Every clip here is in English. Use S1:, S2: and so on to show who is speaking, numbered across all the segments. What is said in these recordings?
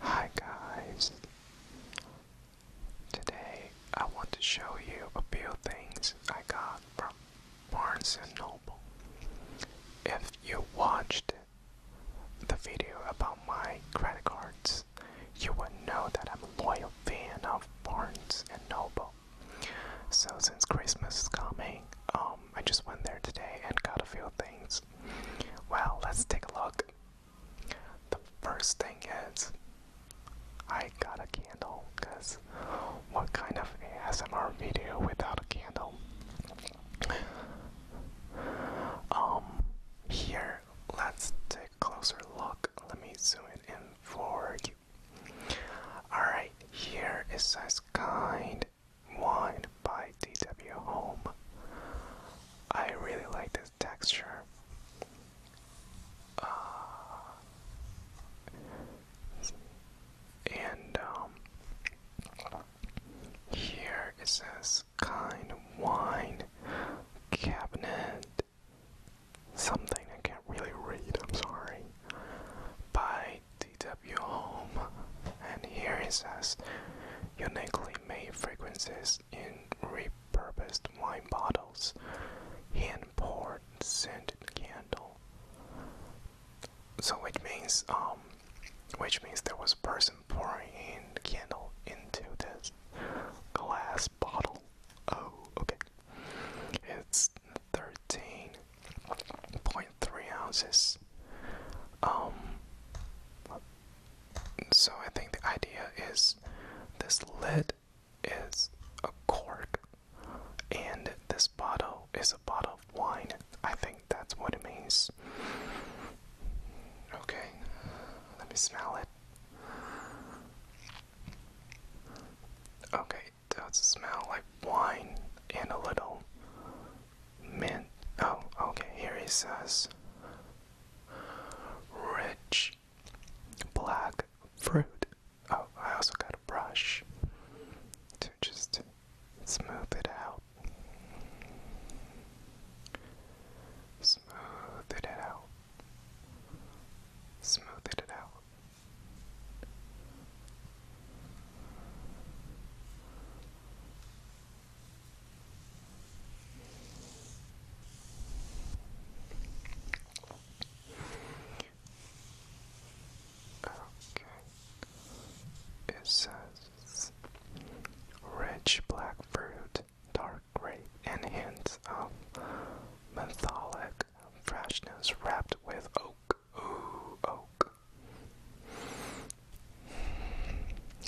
S1: Hi guys! Today I want to show you a few things I got from Barnes & Noble. If you watched the video about my credit cards, you would know that I'm a loyal fan of Barnes & Noble. So since Christmas is coming, um, I just went there today and got a few things well, let's take a look. The first thing is, I got a candle, because what kind of ASMR video without a candle? Um, here, let's take a closer look. Let me zoom it in for you. Alright, here it says kind Wine by DW Home. I really like this texture. Uh, and um, here it says kind wine cabinet something I can't really read, I'm sorry. By DW Home. And here it says uniquely intentionally made fragrances in repurposed wine bottles, hand pour scented candle. So which means um which means there was a person pouring in the candle into this glass bottle. Oh, okay. It's 13.3 ounces. Um, so I think the idea is this lid is a cork and this bottle is a bottle of wine. I think that's what it means. Okay, let me smell it. Okay, it does smell like wine and a little man. Oh, okay. Here he says rich black fruit. Oh, I also got a brush to just smooth it out. Smooth it out. Smooth it out. Okay. It says rich black fruit, dark grape, and hints of mentholic freshness wrapped with oak. Ooh, oak.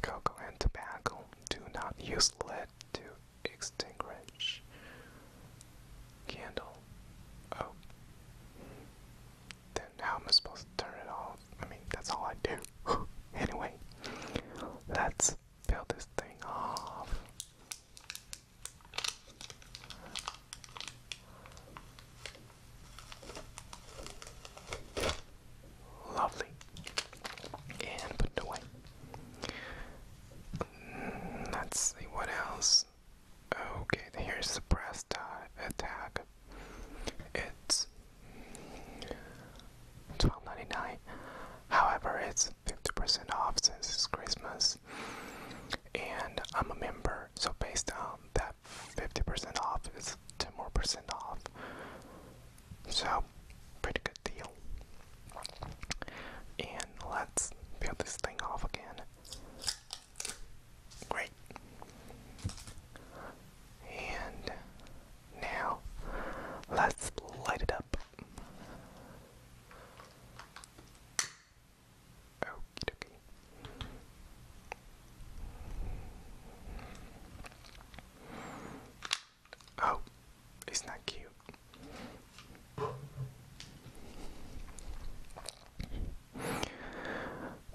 S1: Cocoa and tobacco do not use lead to extinguish candle. Oh. Then how am I supposed to turn it off? I mean, that's all I do. anyway, let's peel this thing off. Lovely. And put it away. Mm, let's see what else. Okay, here's the brass attack. Uh, it's twelve ninety nine. However, it's fifty percent off since it's Christmas. And I'm a member, so based on that 50% off is 10 more percent off. So, pretty good deal. And let's peel this thing off again. Great. And now let's light it up. Okie dokie. Oh, it's not cute?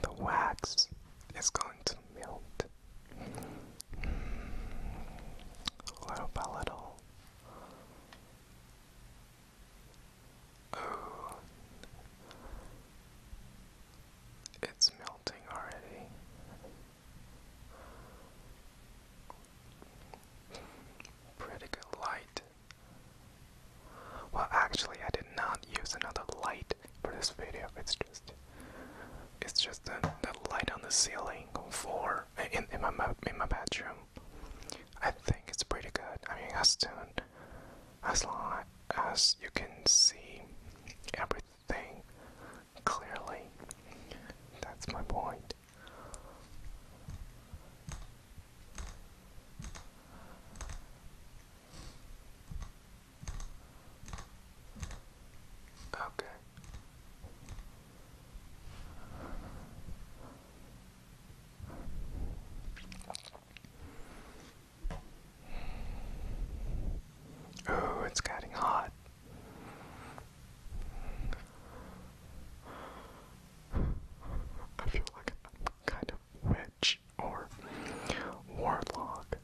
S1: The wax is going to melt hmm, little by little. Oh, it's melting already. Pretty good light. Well, actually, I did not use another light for this video. It's just, it's just the, the light on the ceiling for in, in my in my bedroom. I think it's pretty good. I mean, as soon as long as you can see everything Clearly, that's my point. Okay. Oh, it's getting hot. I feel like i kind of witch or warlock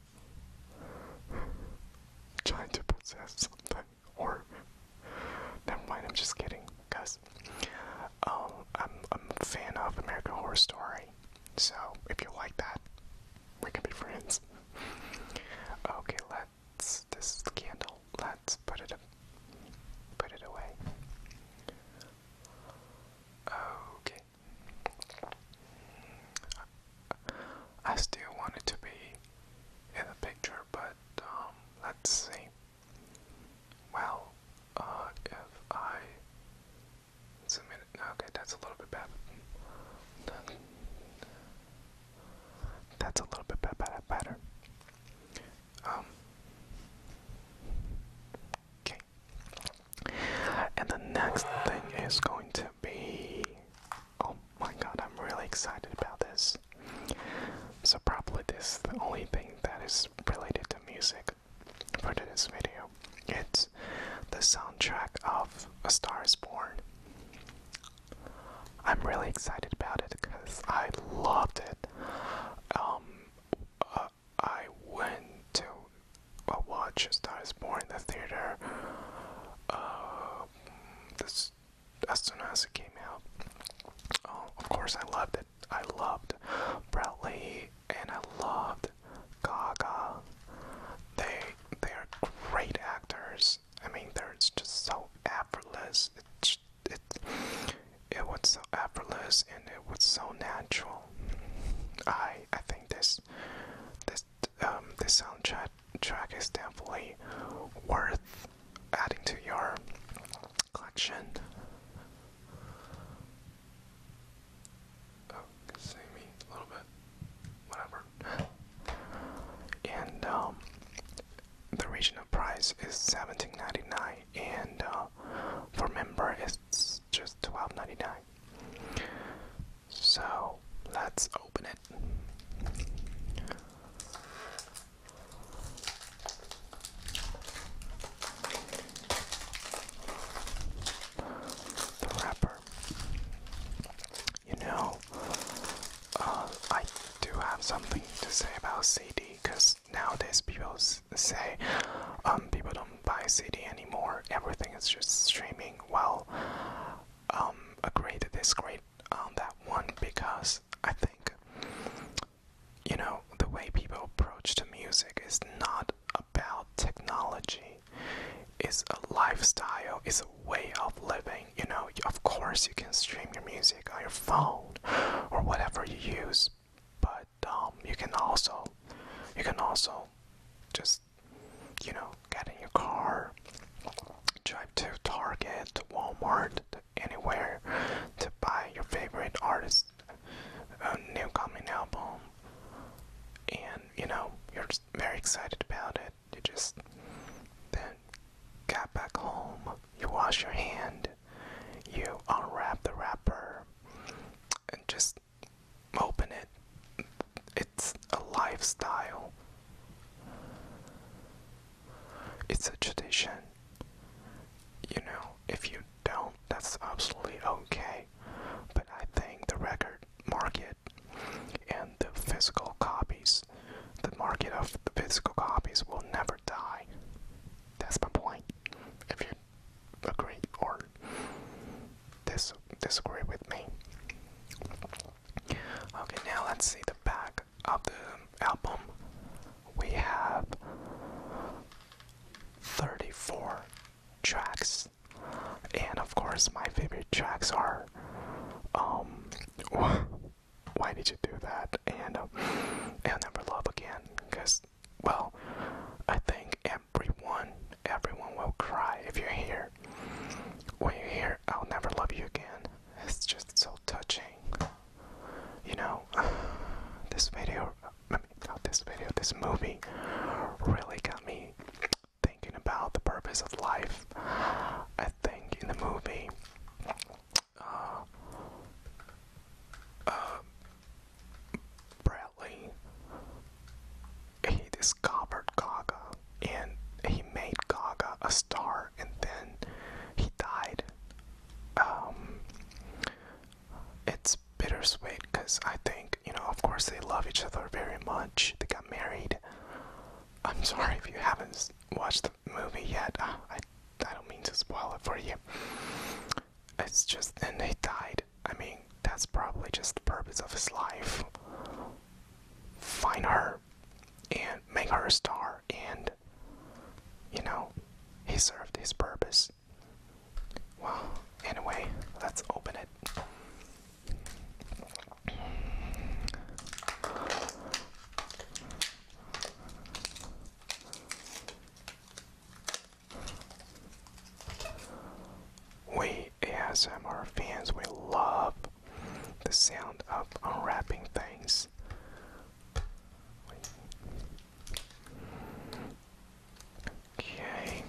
S1: trying to possess something or never mind, I'm just kidding, guys. Um I'm a fan of American Horror Story. So if you like that, we can be friends. Okay, let's this is the candle. Let's put it put it away. Okay. I still want it to be in the picture, but um, let's see. Well, uh, if I it's a minute. Okay, that's a little bit bad. That's a little bit bad, bad, better. Um. Okay. And the next thing is going to be. Oh my god, I'm really excited about this. So, probably this is the only thing that is related to music for this video. It's the soundtrack of A Star is Born. I'm really excited about it because I loved it. Um, uh, I went to uh, watch A Star is Born in the theater uh, this, as soon as it came out. Oh, of course, I loved it. I loved Bradley and I loved Gaga. They they are great actors. I mean, they're just so effortless. It it it was so effortless and it was so natural. I I think this this um this soundtrack track is definitely worth adding to your collection. Oh, see me a little bit. Whatever. And um, the regional price is seventeen ninety nine, and uh, for member it's just twelve ninety nine. So let's open it. The wrapper you know, uh, I do have something to say about CD because nowadays people say um, people don't buy CD anymore. Everything is just streaming. Well, um, agree to disagree on that one because I think you know the way people approach to music is not about technology is a lifestyle, is a way of living. You know, of course, you can stream your music on your phone or whatever you use, but um, you can also, you can also, just, you know, get in your car, drive to Target, to Walmart, to anywhere, to buy your favorite artist uh, new coming album and you know you're very excited about it. You just then got back home, you wash your hand, you unwrap the wrapper, and just open it. It's a lifestyle, it's a tradition. You know, if you don't, that's absolutely okay. But I think the record market and the physical copies the market of the physical copies will never die that's my point if you agree or disagree with me okay now let's see the back of the album we have 34 tracks and of course, my favorite tracks are um why did you do that? And um, I'll never love again because well, I think everyone everyone will cry if you hear when you hear I'll never love you again. It's just so touching. You know, this video not this video, this movie really got me thinking about the purpose of life. I think in the movie, uh, uh, Bradley he discovered Gaga and he made Gaga a star, and then he died. Um, it's bittersweet because I think, you know, of course, they love each other very much. They got married. I'm sorry if you haven't watched the movie yet. Ah, I, I don't mean to spoil it for you. It's just, then they died. I mean, that's probably just the purpose of his life. Find her and make her a star, and you know, he served his purpose. Well, anyway, let's open it. We ASMR fans, we love the sound of unwrapping things. Okay.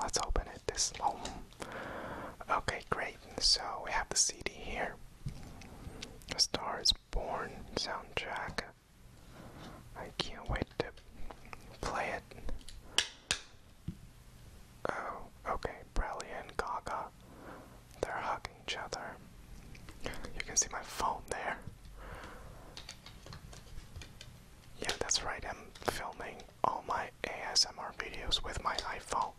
S1: let's open it this album. Okay, great. So we have the CD here. The Star is Born soundtrack. I can't wait to play it. Oh, okay. Bradley and Gaga. They're hugging each other. You can see my phone there. Yeah, that's right, I'm filming all my ASMR videos with my iPhone.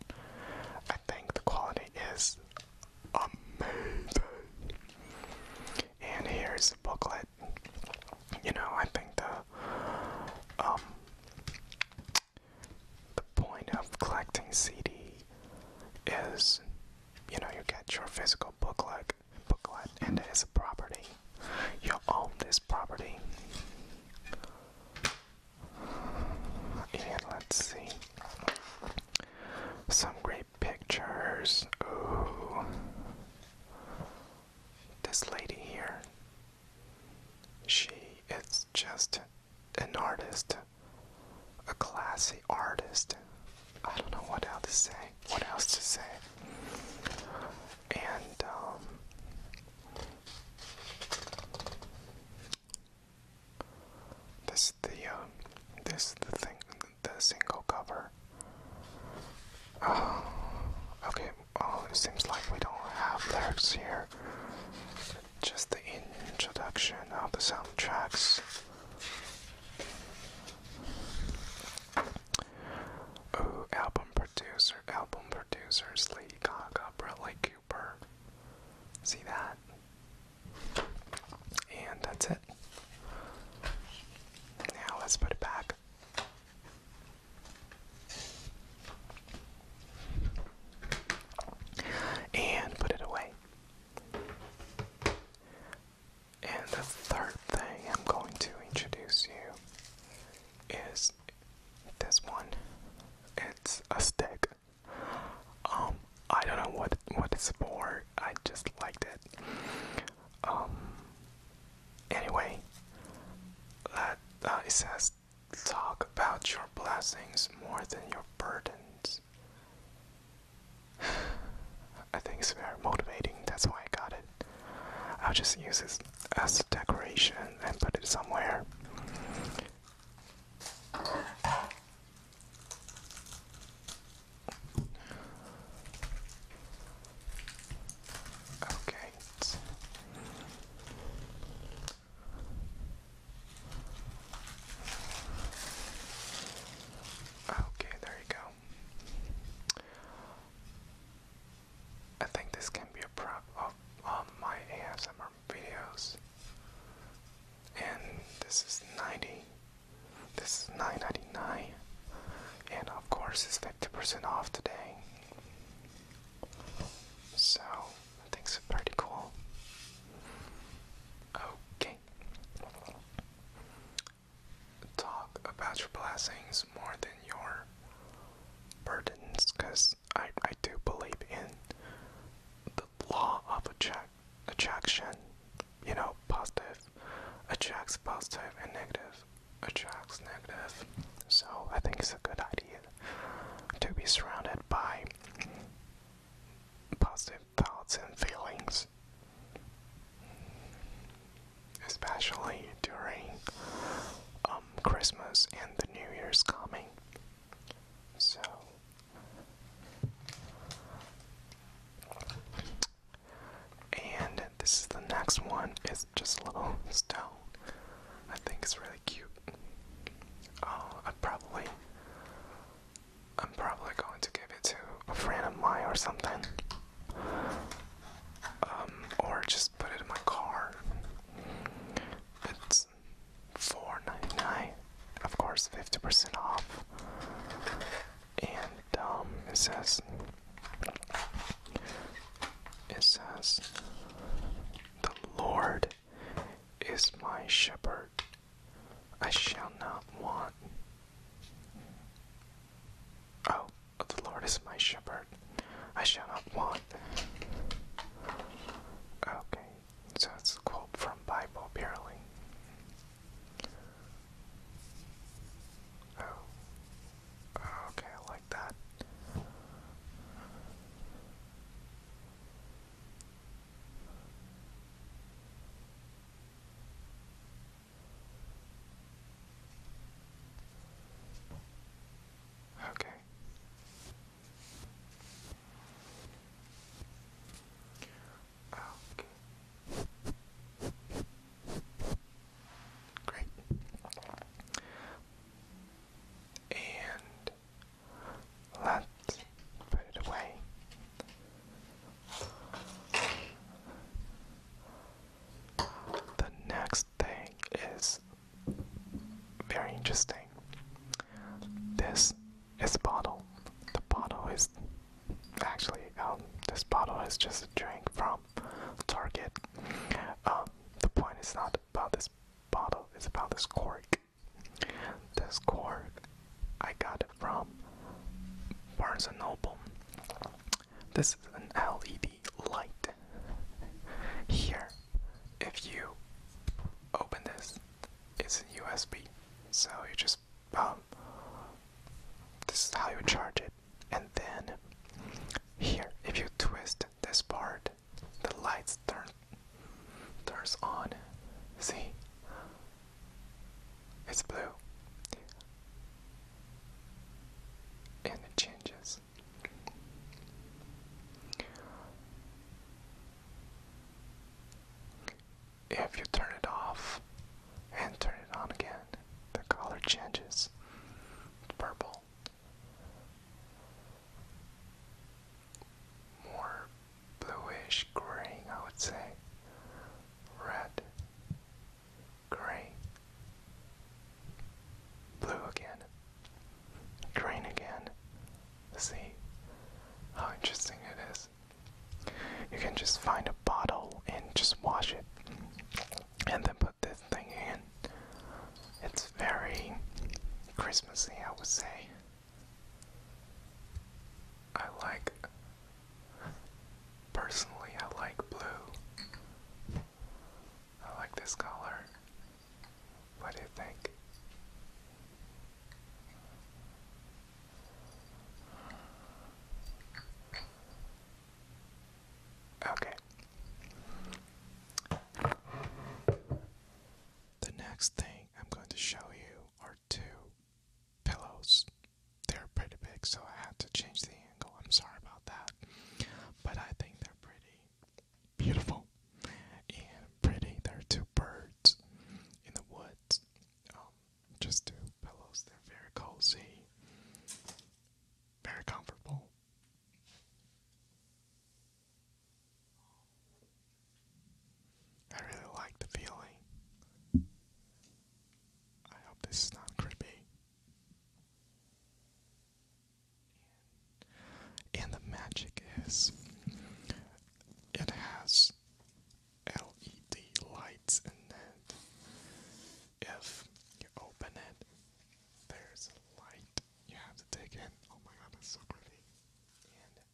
S1: I think the quality is amazing. And here's a booklet. You know, I think the um the point of collecting CD is you know, you get your physical booklet booklet and it is a property. You own this property. And let's see. Some great pictures. Ooh. This lady here. She is just an artist. A classy artist. I don't know what else to say. What else to say? and um, this is the uh, this the thing the single cover. Uh, okay, well it seems like we don't have lyrics here. Just the introduction of the soundtracks. Ooh, album producer, album producers, Lady Gaga, Bradley Cooper. See that? And that's it. Now let's put it back. And put it away. And the third thing I'm going to introduce you is this one. It's a stick. Um, I don't know what what it's for. I just liked it. Um. Anyway, that uh, it says talk about your blessings more than your burdens. I think it's very motivating. That's why I got it. I'll just use this as decoration and put it somewhere. Okay. Okay, there you go. I think this can be a prop of all my ASMR videos. And this is 90. This is 9.99. And of course it's 50% off today. So I think it's pretty cool. Okay talk about your blessings more than your burdens because I, I do believe in the law of attract, attraction. You know, positive attracts positive and negative attracts negative. So I think it's a good idea to be surrounded by positive thoughts and feelings especially during um, Christmas and the New Year's coming. So, and this is the next one. It's just a little still. I think it's really cute. Oh, I probably, I'm probably going to give it to a friend of mine or something um, or just put it in my car. It's four ninety nine, of course, fifty percent off, and um, it says it says the Lord is my shepherd. I shall not want. Oh, the Lord is my shepherd, I shall not want. Okay, so it's quote from Bible barely. Oh, okay, I like that. Okay. Okay. Great. And let's put it away. The next thing is very interesting. This is a bottle. The bottle is actually um, this bottle is just a drink from Target. Um, the point is not about this bottle; it's about this cork. This cork I got it from Barnes and Noble. This is an LED light here. If you open this, it's USB, so you just um, this is how you charge it, and then here, if you twist this part, the lights turn turns on. See, it's blue and it changes. If you turn it off and turn it on again, the color changes purple. More bluish green, I would say. Red, green, blue again, green again. See how interesting it is. You can just find a bottle and just wash it, and then put this thing in. It's very Christmassy, I would say. I like, personally, I like blue. I like this color. What do you think? Okay. The next thing I'm going to show you are two pillows they're pretty big, so I had to change the angle. I'm sorry about that. But I think they're pretty beautiful and pretty. They're two birds in the woods. Um, just two pillows. They're very cozy, very comfortable. I really like the feeling. I hope this is not creepy. And the magic is it has LED lights in it. If you open it, there's a light you have to take in. Oh my god, that's so pretty. And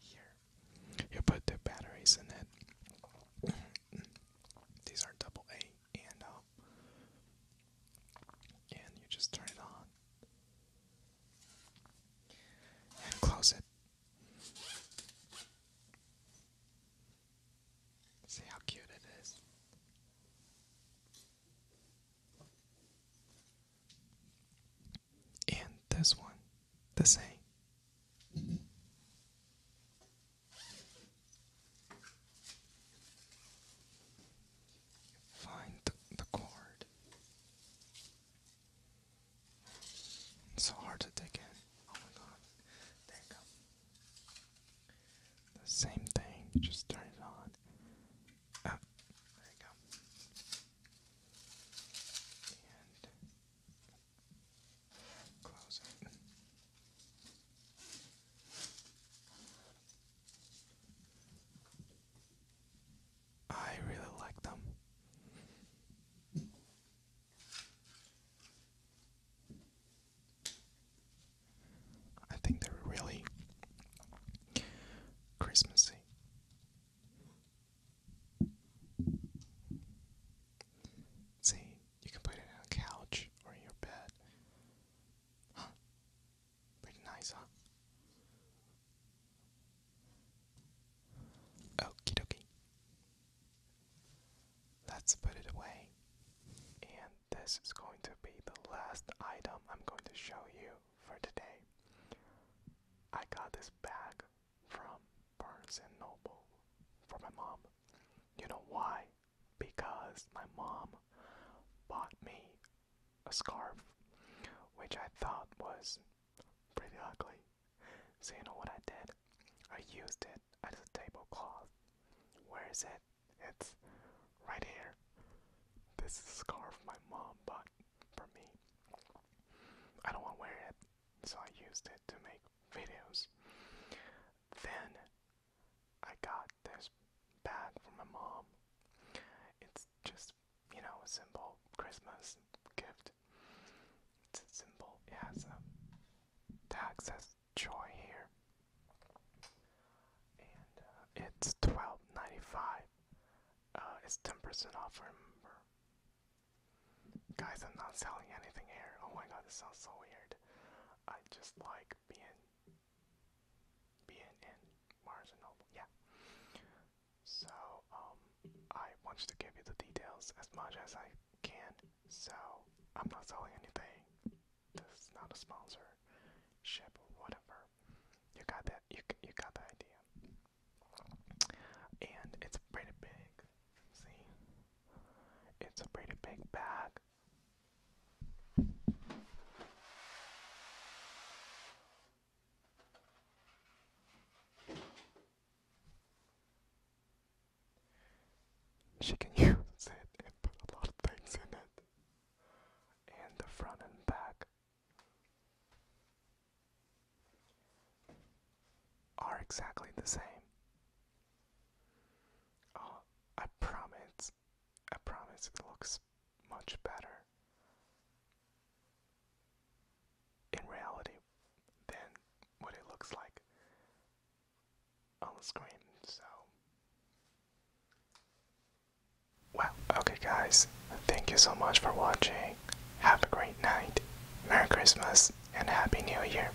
S1: here, you put two batteries in it. These are double A and up, um, and you just turn it on and close it. See how cute it is. And this one, the same. Find the, the cord. It's so hard to dig in. Oh my god. There you go. The same thing, just turn it on. Ah, there you go. Close it. I really like them. I think they're really Christmassy. See, you can put it on a couch or in your bed. Huh? Pretty nice, huh? Okie dokie. Let's put it away. And this is going to be the last item I'm going to show you for today. I got this bag from Barnes and Noble for my mom. You know why? because my mom bought me a scarf, which I thought was pretty ugly. So, you know what I did? I used it as a tablecloth. Where is it? It's right here. This is a scarf my mom bought for me. I don't want to wear it, so I used it to make videos. Then I got this bag for my mom. It's just, you know, a simple Christmas gift. It's a simple. It has a tag says joy here. And uh, it's twelve ninety five. Uh, it's ten percent off. Remember, guys, I'm not selling anything here. Oh my god, this sounds so weird. I just like being being in marginal, Yeah. So um, I want to give you the details as much as I can. So I'm not selling anything. This is not a sponsorship or whatever. You got that? You you got the idea. And it's pretty big. See, it's a pretty big bag. She can use it and put a lot of things in it. And the front and back are exactly the same. Oh, I promise. I promise it looks much better in reality than what it looks like on the screen. So, well, okay, guys, thank you so much for watching. Have a great night, Merry Christmas, and Happy New Year.